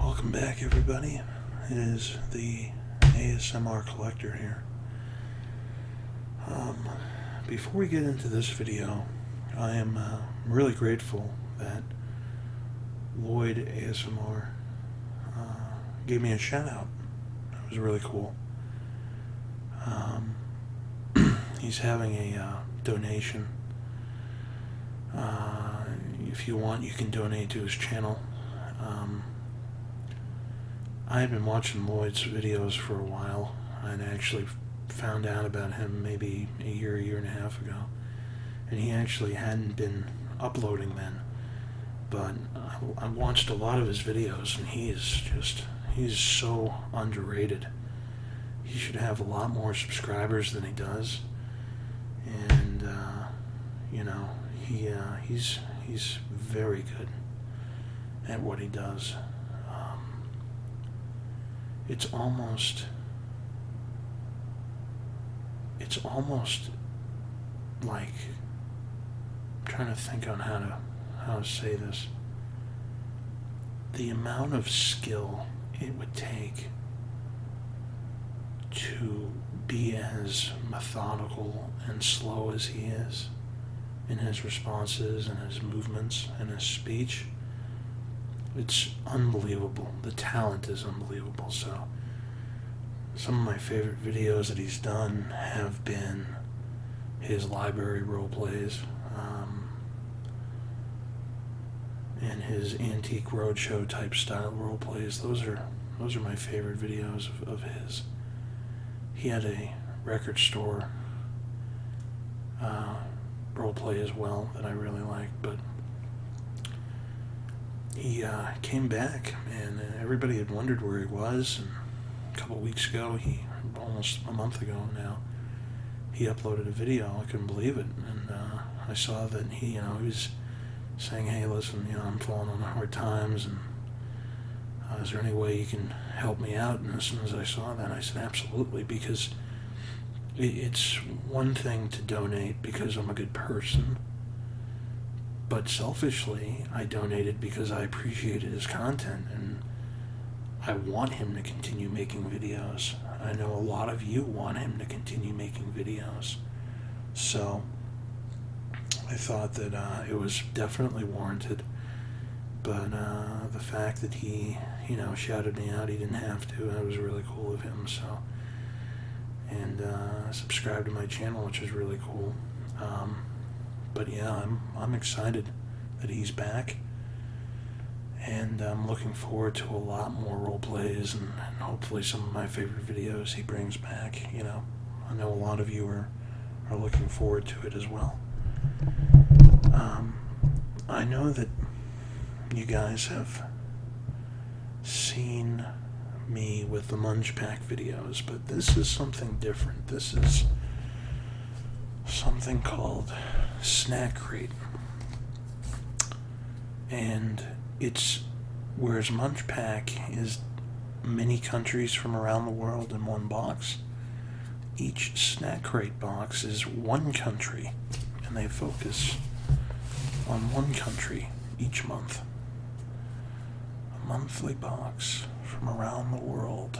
Welcome back everybody. It is the ASMR Collector here. Um, before we get into this video, I am uh, really grateful that Lloyd ASMR uh, gave me a shout out. It was really cool. Um, he's having a uh, donation uh, if you want, you can donate to his channel. Um, I've been watching Lloyd's videos for a while, and I actually found out about him maybe a year, a year and a half ago. And he actually hadn't been uploading then. But I, I watched a lot of his videos, and he is just, he's so underrated he should have a lot more subscribers than he does. And uh, you know, he uh, he's he's very good at what he does. Um, it's almost it's almost like trying to think on how to how to say this the amount of skill it would take to be as methodical and slow as he is in his responses and his movements and his speech. It's unbelievable. The talent is unbelievable. So, some of my favorite videos that he's done have been his library role plays. Um, and his antique roadshow type style role plays. Those are those are my favorite videos of, his. He had a record store uh, role play as well that I really like. but he uh, came back and everybody had wondered where he was. And a couple weeks ago, he almost a month ago now, he uploaded a video. I couldn't believe it, and. Uh, I saw that he, you know, he was saying, hey, listen, you know, I'm falling on hard times, and uh, is there any way you can help me out? And as soon as I saw that, I said, absolutely, because it's one thing to donate because I'm a good person, but selfishly, I donated because I appreciated his content, and I want him to continue making videos. I know a lot of you want him to continue making videos. So I thought that uh, it was definitely warranted. But uh, the fact that he, you know, shouted me out, he didn't have to, that was really cool of him. So, and uh, subscribe to my channel, which is really cool. Um, but yeah, I'm, I'm excited that he's back and I'm looking forward to a lot more role plays and, hopefully some of my favorite videos he brings back. You know, I know a lot of you are, are looking forward to it as well. Um, I know that you guys have seen me with the Munch Pack videos, but this is something different. This is something called Snack Crate and it's whereas Munch Pack is many countries from around the world in one box. Each snack crate box is one country, and they focus on one country each month. A monthly box from around the world.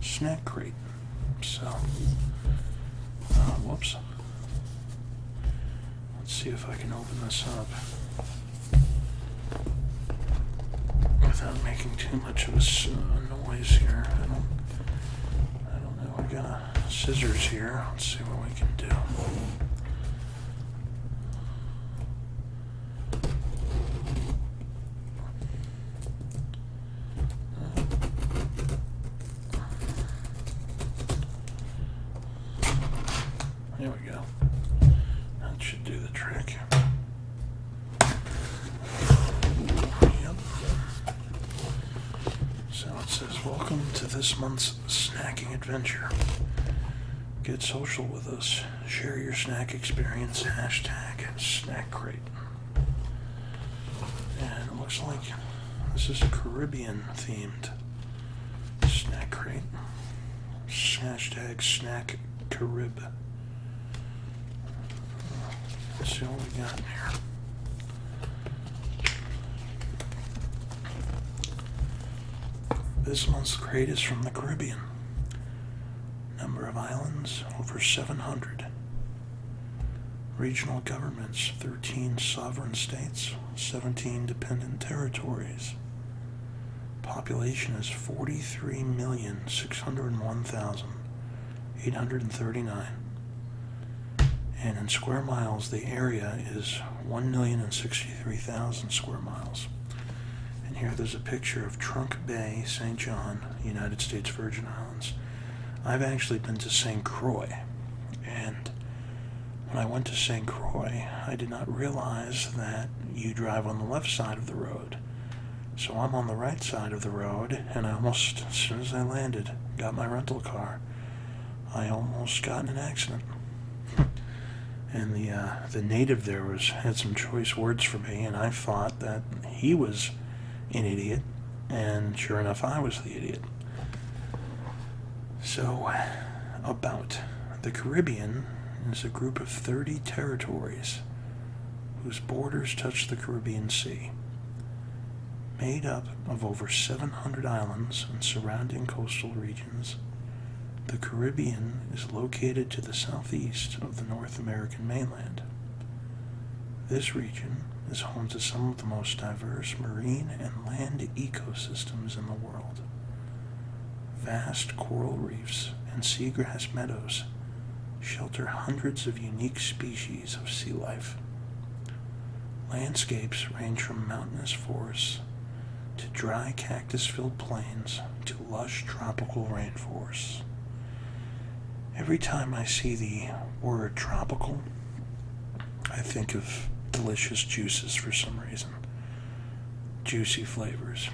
Snack crate. So, uh, whoops. Let's see if I can open this up without making too much of a uh, noise here. I don't, I don't know. I got a scissors here. Let's see what we can do. There we go. That should do the trick. Yep. So it says, Welcome to this month's snacking adventure. Get social with us. Share your snack experience. Hashtag snack crate. And it looks like this is a Caribbean themed snack crate. Hashtag snack Carib. Let's see what we got in here. This month's crate is from the Caribbean. Number of islands over 700. Regional governments, 13 sovereign states, 17 dependent territories. Population is 43,601,839. And in square miles, the area is 1,063,000 square miles. And here there's a picture of Trunk Bay, St. John, United States Virgin Islands. I've actually been to St. Croix, and when I went to St. Croix, I did not realize that you drive on the left side of the road. So I'm on the right side of the road, and I almost, as soon as I landed, got my rental car, I almost got in an accident. and the uh, the native there was had some choice words for me, and I thought that he was an idiot, and sure enough, I was the idiot. So, about the Caribbean is a group of 30 territories whose borders touch the Caribbean Sea, made up of over 700 islands and surrounding coastal regions. The Caribbean is located to the southeast of the North American mainland. This region is home to some the most diverse marine and land ecosystems in the world. Vast coral reefs and seagrass meadows shelter hundreds of unique species of sea life. Landscapes range from mountainous forests to dry cactus filled plains to lush tropical rainforests. Every time I see the word tropical, I think of delicious juices for some reason, juicy flavors.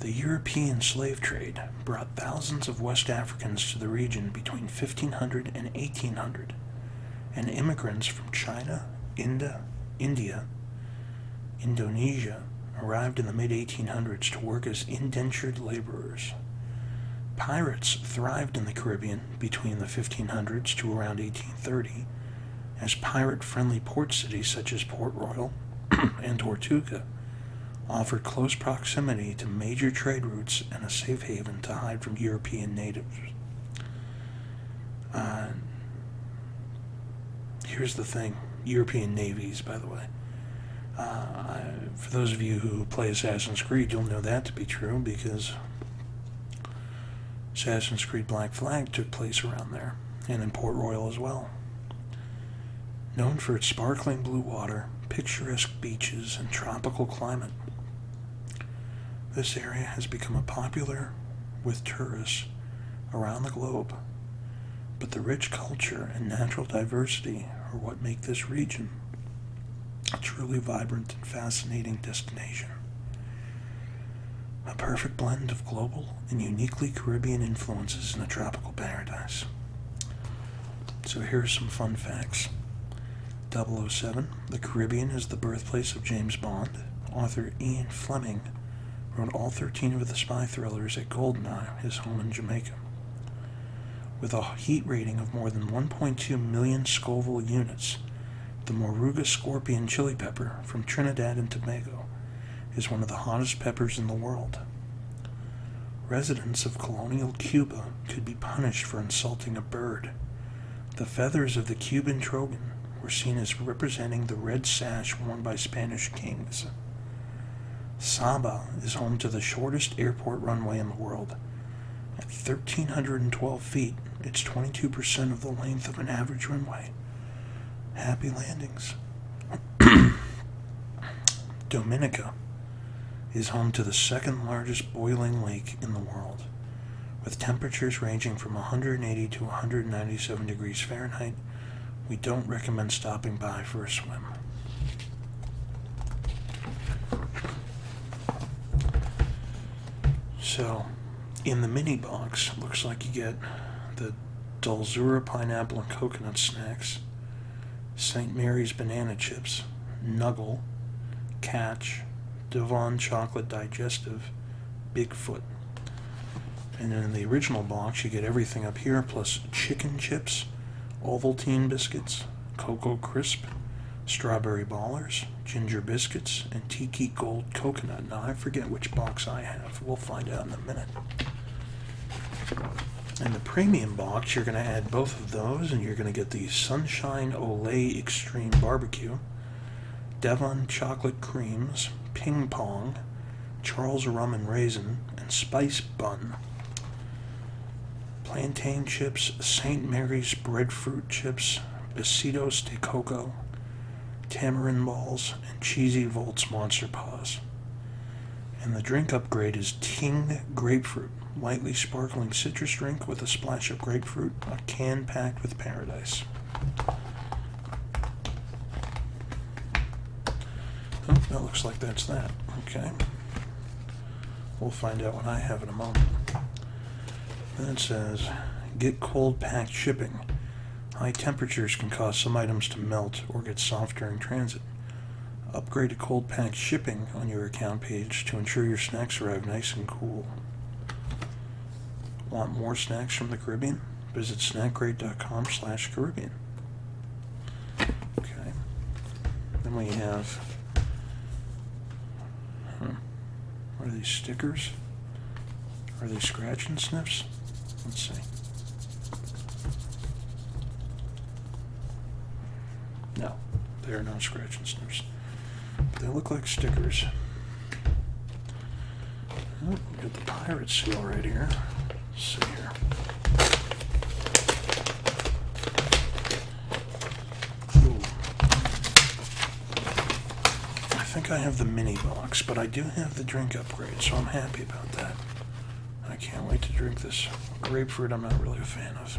The European slave trade brought thousands of West Africans to the region between 1500 and 1800, and immigrants from China, India, India, Indonesia arrived in the mid 1800s to work as indentured laborers. Pirates thrived in the Caribbean between the 1500s to around 1830 as pirate friendly port cities such as Port Royal and Tortuga offered close proximity to major trade routes and a safe haven to hide from European natives. Uh, here's the thing European navies, by the way. Uh, for those of you who play Assassin's Creed, you'll know that to be true because Assassin's Creed Black Flag took place around there and in Port Royal as well. Known for its sparkling blue water, picturesque beaches, and tropical climate, this area has become popular with tourists around the globe. But the rich culture and natural diversity are what make this region a truly vibrant and fascinating destination. A perfect blend of global and uniquely Caribbean influences in a tropical paradise. So here are some fun facts. 007, the Caribbean is the birthplace of James Bond. Author Ian Fleming wrote all 13 of the spy thrillers at Goldeneye, his home in Jamaica. With a heat rating of more than 1.2 million Scoville units, the Moruga scorpion chili pepper from Trinidad and Tobago is one of the hottest peppers in the world. Residents of colonial Cuba could be punished for insulting a bird. The feathers of the Cuban trogon were seen as representing the red sash worn by Spanish kings. Saba is home to the shortest airport runway in the world at 1,312 feet, it's 22% of the length of an average runway. Happy landings. Dominica is home to the second largest boiling lake in the world, with temperatures ranging from 180 to 197 degrees Fahrenheit. We don't recommend stopping by for a swim. So, in the mini box, looks like you get the Dulzura pineapple and coconut snacks, St. Mary's banana chips, Nuggle, Catch, Devon chocolate digestive, Bigfoot. And then in the original box, you get everything up here plus chicken chips, Ovaltine biscuits, Cocoa Crisp, Strawberry Ballers, Ginger Biscuits, and Tiki Gold Coconut. Now, I forget which box I have. We'll find out in a minute. In the premium box, you're going to add both of those, and you're going to get the Sunshine Olay Extreme Barbecue, Devon Chocolate Creams, Ping Pong, Charles Rum and Raisin, and Spice Bun plantain chips, St. Mary's breadfruit chips, Besitos de Coco, tamarind balls, and cheesy Volts Monster Paws. And the drink upgrade is Ting Grapefruit, lightly sparkling citrus drink with a splash of grapefruit, a can packed with paradise. Oh, that looks like that's that. Okay. We'll find out what I have in a moment. That says, get cold pack shipping. High temperatures can cause some items to melt or get soft during transit. Upgrade to cold pack shipping on your account page to ensure your snacks arrive nice and cool. Want more snacks from the Caribbean? Visit snackgrade.com slash Caribbean. Okay. Then we have Huh. are these stickers? Are they scratching and sniffs? Let's see. No, they are not scratching and sniffs. they look like stickers. Oh, got the pirate seal right here. see here. I think I have the mini box, but I do have the drink upgrade, so I'm happy about that. I can't wait to drink this. Grapefruit, I'm not really a fan of.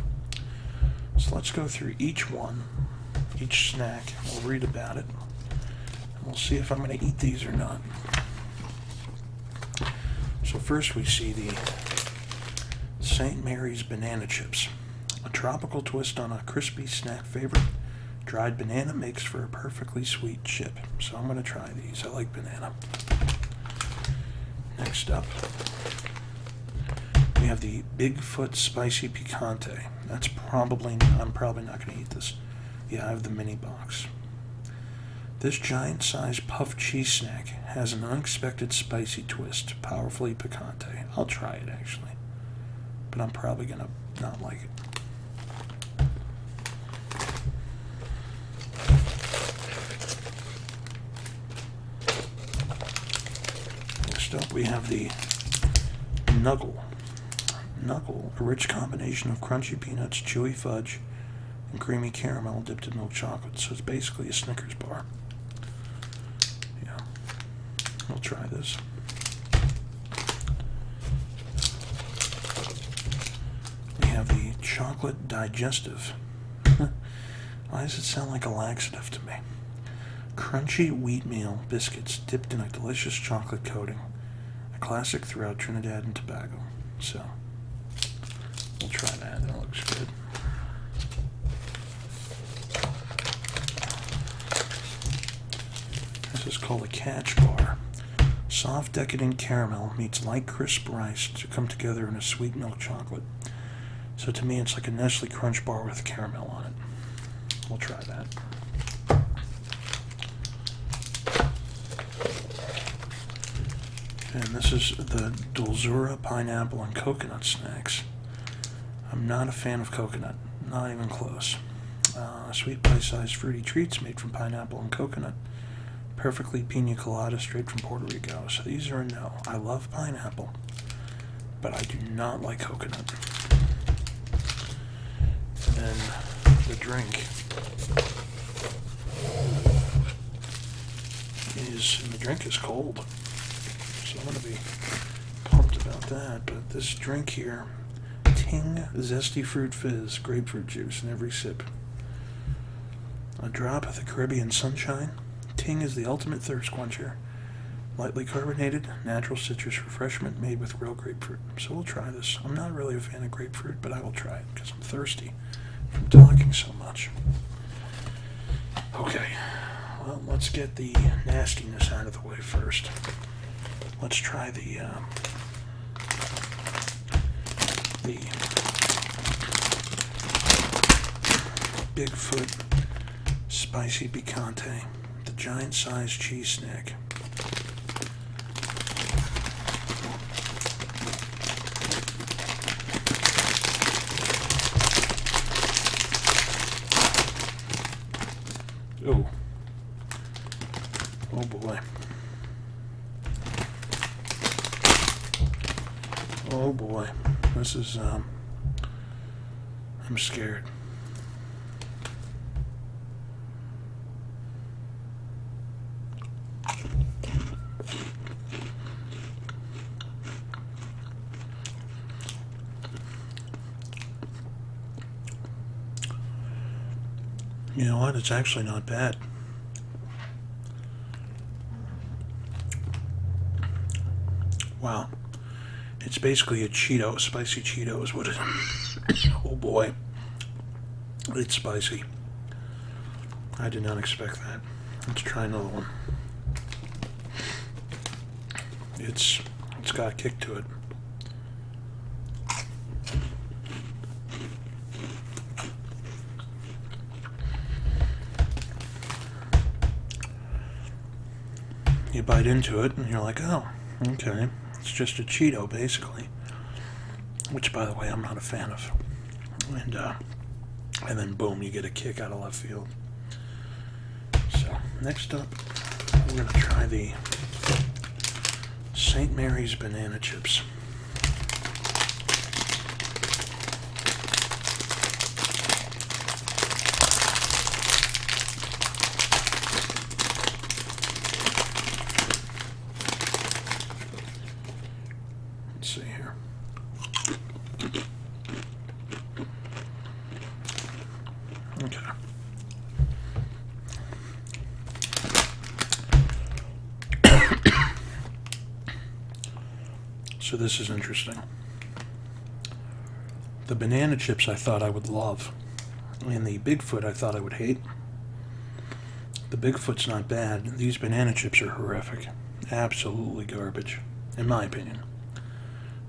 So let's go through each one, each snack. We'll read about it. we'll see if I'm going to eat these or not. So first we see the St. Mary's Banana Chips. A tropical twist on a crispy snack favorite. Dried banana makes for a perfectly sweet chip. So I'm going to try these. I like banana. Next up, we have the Bigfoot Spicy Picante. That's probably, I'm probably not going to eat this. Yeah, I have the mini box. This giant sized puff cheese snack has an unexpected spicy twist, powerfully picante. I'll try it actually, but I'm probably gonna not like it. Next up, we have the Nuggle. Knuckle, a rich combination of crunchy peanuts, chewy fudge, and creamy caramel dipped in milk chocolate. So it's basically a Snickers bar before. Yeah, we'll try this. We have the chocolate digestive. Why does it sound like a laxative to me? Crunchy wheatmeal biscuits dipped in a delicious chocolate coating, a classic throughout Trinidad and Tobago. So, we'll try that. That looks good. This is called a catch bar. Soft, decadent caramel meets light, crisp rice to come together in a sweet milk chocolate. So to me, it's like a Nestle Crunch bar with caramel on it. We'll try that. And this is the Dulzura pineapple and coconut snacks. I'm not a fan of coconut, not even close. Uh, sweet pie-sized fruity treats made from pineapple and coconut. Perfectly pina colada straight from Puerto Rico. So these are a no. I love pineapple, but I do not like coconut. And the drink is, the drink is cold. So I'm going to be pumped about that. But this drink here, Ting Zesty Fruit Fizz, grapefruit juice in every sip. A drop of the Caribbean sunshine. Ting is the ultimate thirst quencher. Lightly carbonated, natural citrus refreshment made with real grapefruit. So we'll try this. I'm not really a fan of grapefruit, but I will try it because I'm thirsty from talking so much. Okay, well, let's get the nastiness out of the way first. Let's try the, um, the Bigfoot Spicy Picante, the giant sized cheese snack. Oh. Oh boy. Oh boy. This is, um, I'm scared. You know what? It's actually not bad. Wow. It's basically a Cheeto. Spicy Cheetos. what oh boy. It's spicy. I did not expect that. Let's try another one. It's it's got a kick to it. You bite into it and you're like, oh, okay, it's just a Cheeto basically. Which, by the way, I'm not a fan of and uh, and then boom, you get a kick out of left field. So next up, we're gonna try the St. Mary's banana chips. Let's see here. Okay. so this is interesting. The banana chips I thought I would love, and the Bigfoot I thought I would hate. The Bigfoot's not bad. These banana chips are horrific. Absolutely garbage, in my opinion.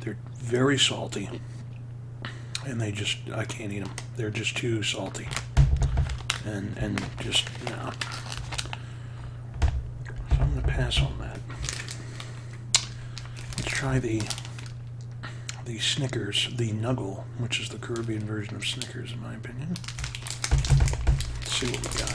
They're very salty, and they just, I can't eat them. They're just too salty. And, and just, you So I'm going to pass on that. Let's try the the Snickers, the Nuggle, which is the Caribbean version of Snickers, in my opinion. Let's see what we got.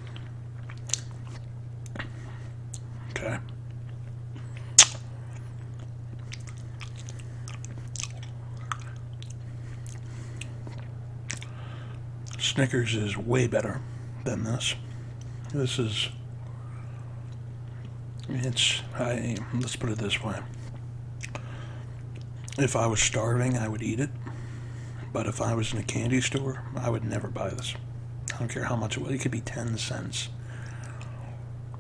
Okay. Snickers is way better than this. This is, it's, I, let's put it this way. If I was starving, I would eat it. But if I was in a candy store, I would never buy this. I don't care how much it was. It could be 10 cents.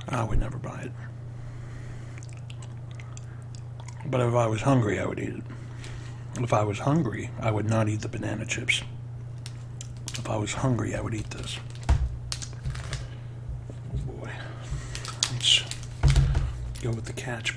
I would never buy it. But if I was hungry, I would eat it. If I was hungry, I would not eat the banana chips. If I was hungry, I would eat this. Oh boy. Let's go with the catch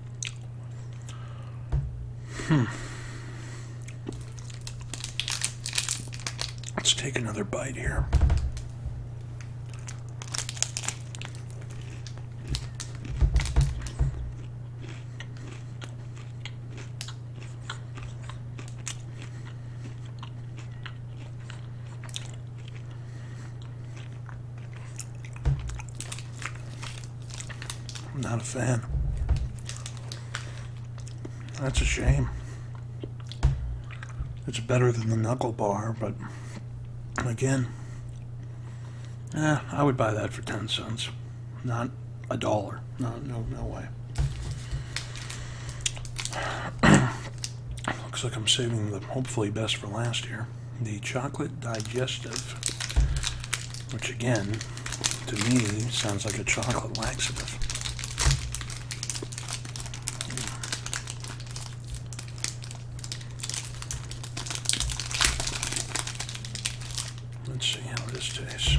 Hmm. Let's take another bite here. I'm not a fan. That's a shame. It's better than the knuckle bar, but again, eh, I would buy that for 10 cents. Not a dollar. No, no, no way. Looks like I'm saving the hopefully best for last year the chocolate digestive, which again, to me, sounds like a chocolate laxative. Let's see how this tastes.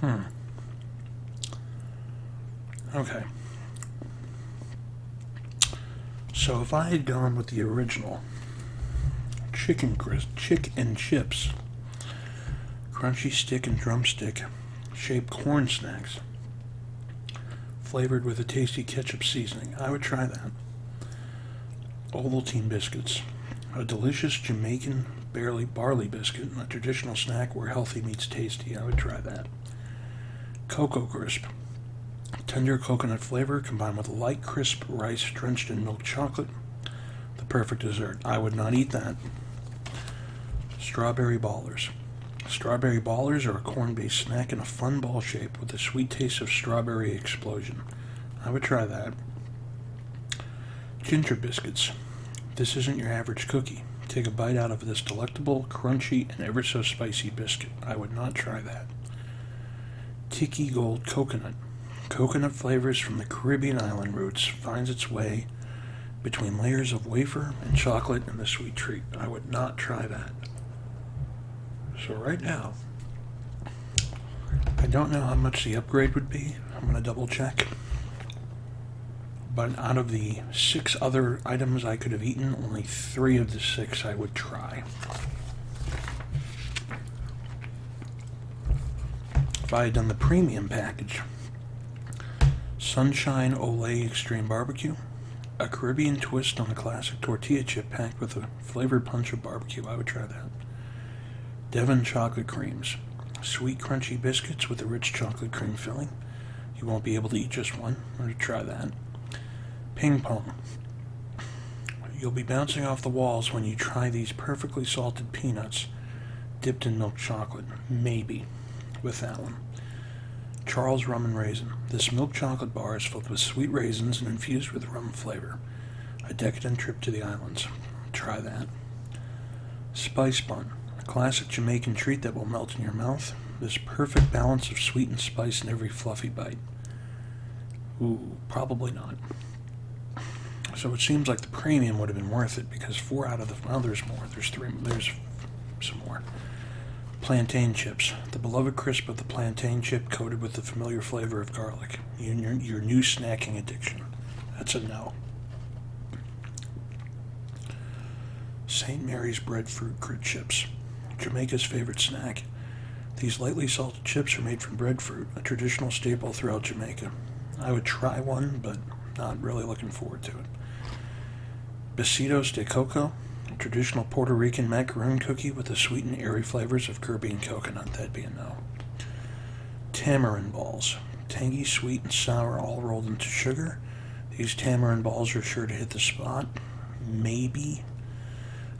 Hmm. Okay. So if I had gone with the original chicken crisp, chick and chips, crunchy stick and drumstick shaped corn snacks flavored with a tasty ketchup seasoning. I would try that. Ovaltine biscuits, a delicious Jamaican barley barley biscuit, a traditional snack where healthy meets tasty. I would try that. Cocoa crisp, tender coconut flavor combined with light crisp rice drenched in milk chocolate, the perfect dessert. I would not eat that. Strawberry ballers. Strawberry ballers are a corn based snack in a fun ball shape with a sweet taste of strawberry explosion. I would try that. Ginger biscuits. This isn't your average cookie. Take a bite out of this delectable, crunchy, and ever so spicy biscuit. I would not try that. Tiki Gold Coconut. Coconut flavors from the Caribbean island roots finds its way between layers of wafer and chocolate in the sweet treat. I would not try that. So right now, I don't know how much the upgrade would be. I'm going to double check. But out of the six other items I could have eaten, only three of the six I would try if I had done the premium package. Sunshine Ole Extreme Barbecue, a Caribbean twist on a classic tortilla chip packed with a flavored punch of barbecue. I would try that. Devon Chocolate Creams, sweet crunchy biscuits with a rich chocolate cream filling. You won't be able to eat just one. I'm going to try that. Ping Pong. You'll be bouncing off the walls when you try these perfectly salted peanuts dipped in milk chocolate, maybe, with that one. Charles Rum and Raisin. This milk chocolate bar is filled with sweet raisins and infused with rum flavor. A decadent trip to the islands. Try that. Spice Bun. A classic Jamaican treat that will melt in your mouth. This perfect balance of sweet and spice in every fluffy bite. Ooh, probably not. So it seems like the premium would have been worth it because four out of the well, there's more. There's three. There's some more. Plantain chips. The beloved crisp of the plantain chip coated with the familiar flavor of garlic. Your, new snacking addiction. That's a no. St. Mary's breadfruit crit chips. Jamaica's favorite snack. These lightly salted chips are made from breadfruit a traditional staple throughout Jamaica. I would try one, but not really looking forward to it. Besitos de Coco, a traditional Puerto Rican macaroon cookie with the sweet and airy flavors of Caribbean coconut, that being be no. Tamarind balls, tangy, sweet, and sour all rolled into sugar. These tamarind balls are sure to hit the spot. Maybe.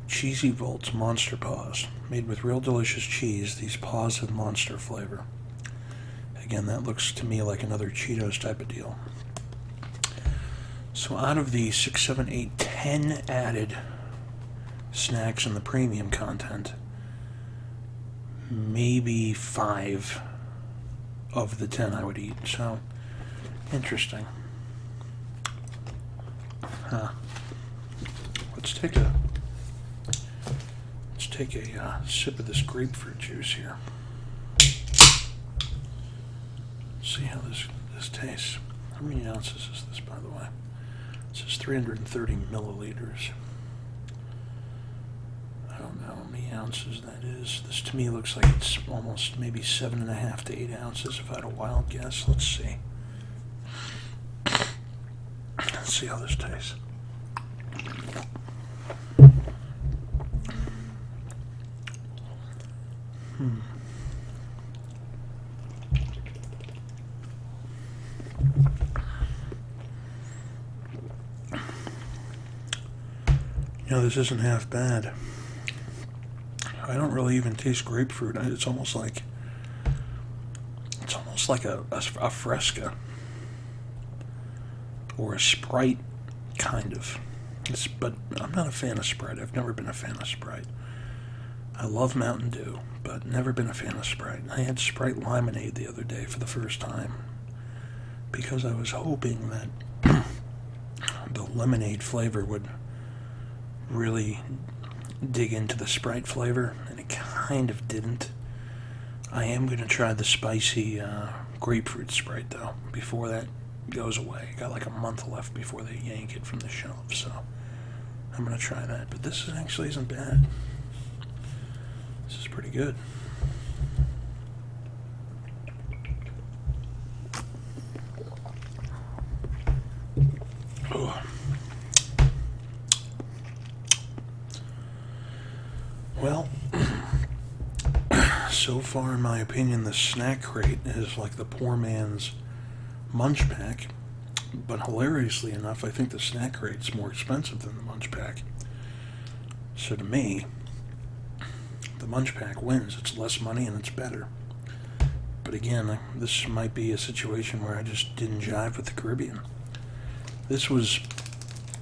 Cheesy Volts Monster Paws, made with real delicious cheese, these paws have monster flavor. Again, that looks to me like another Cheetos type of deal. So out of the 6, 10 added snacks and the premium content, maybe 5 of the 10 I would eat. So, interesting. Huh. Let's take a Let's take a uh, sip of this grapefruit juice here. see how this, this tastes. How many ounces is this, by the way? This is 330 milliliters. I don't know how many ounces that is. This to me looks like it's almost maybe seven and a half to eight ounces if I had a wild guess. Let's see. Let's see how this tastes. Hmm. You know, this isn't half bad. I don't really even taste grapefruit. It's almost like it's almost like a, a, a fresca or a Sprite, kind of. but I'm not a fan of Sprite. I've never been a fan of Sprite. I love Mountain Dew, but never been a fan of Sprite. I had Sprite lemonade the other day for the first time because I was hoping that the lemonade flavor would really dig into the Sprite flavor, it kind of didn't. I am going to try the spicy uh, grapefruit Sprite, though, before that goes away. Got like a month left before they yank it from the shelf, so I'm going to try that. But this actually isn't bad. This is pretty good. Oh. Well, so far, in my opinion, the snack crate is like the poor man's munch pack. But hilariously enough, I think the snack crate's more expensive than the munch pack. So to me, the munch pack wins. It's less money and it's better. But again, this might be a situation where I just didn't jive with the Caribbean. This was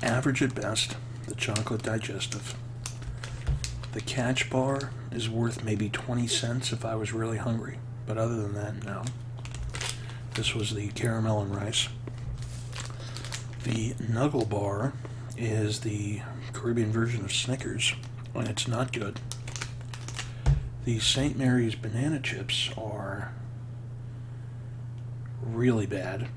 average at best, the chocolate digestive. The catch bar is worth maybe 20 cents if I was really hungry, but other than that, no. This was the caramel and rice. The Nuggle Bar is the Caribbean version of Snickers, and it's not good. The St. Mary's banana chips are really bad.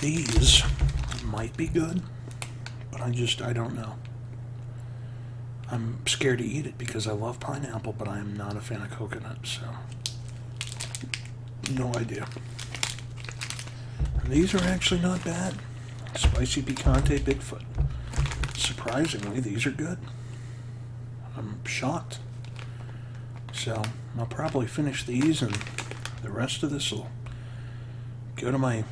These might be good, but I just, I don't know. I'm scared to eat it because I love pineapple, but I am not a fan of coconut, so no idea. these are actually not bad. Spicy Picante Bigfoot. Surprisingly, these are good. I'm shocked. So, I'll probably finish these and the rest of this will go to my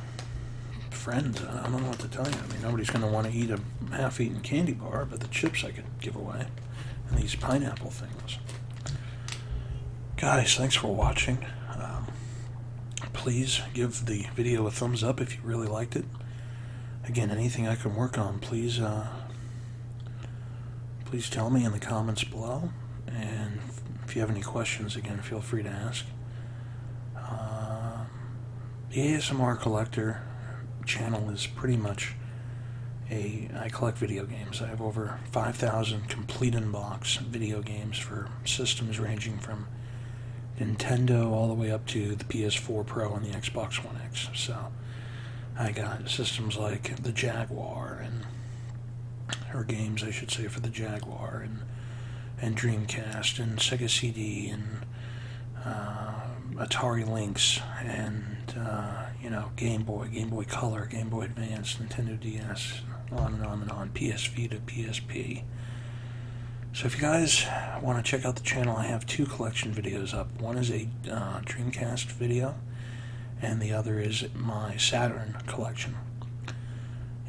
friends. I don't know what to tell you. I mean, nobody's going to want to eat a half eaten candy bar, but the chips I could give away and these pineapple things. Guys, thanks for watching. Um, please give the video a thumbs up if you really liked it again, anything I can work on, please, uh, please tell me in the comments below. And if you have any questions, again, feel free to ask. Uh, the ASMR Collector channel is pretty much a. I collect video games. I have over 5,000 complete unbox video games for systems ranging from Nintendo all the way up to the PS4 Pro and the Xbox One X. So I got systems like the Jaguar and or games I should say for the Jaguar and and Dreamcast and Sega CD and uh, Atari Lynx and uh, you know Game Boy, Game Boy Color, Game Boy Advance, Nintendo DS, on and on and on, PS Vita, PSP. So if you guys want to check out the channel, I have two collection videos up. One is a uh, Dreamcast video, and the other is my Saturn collection.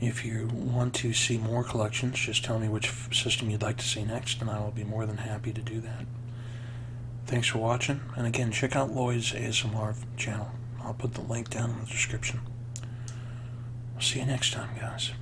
If you want to see more collections, just tell me which system you'd like to see next, and I will be more than happy to do that. Thanks for watching, and again, check out Lloyd's ASMR channel. I'll put the link down in the description. I'll see you next time, guys.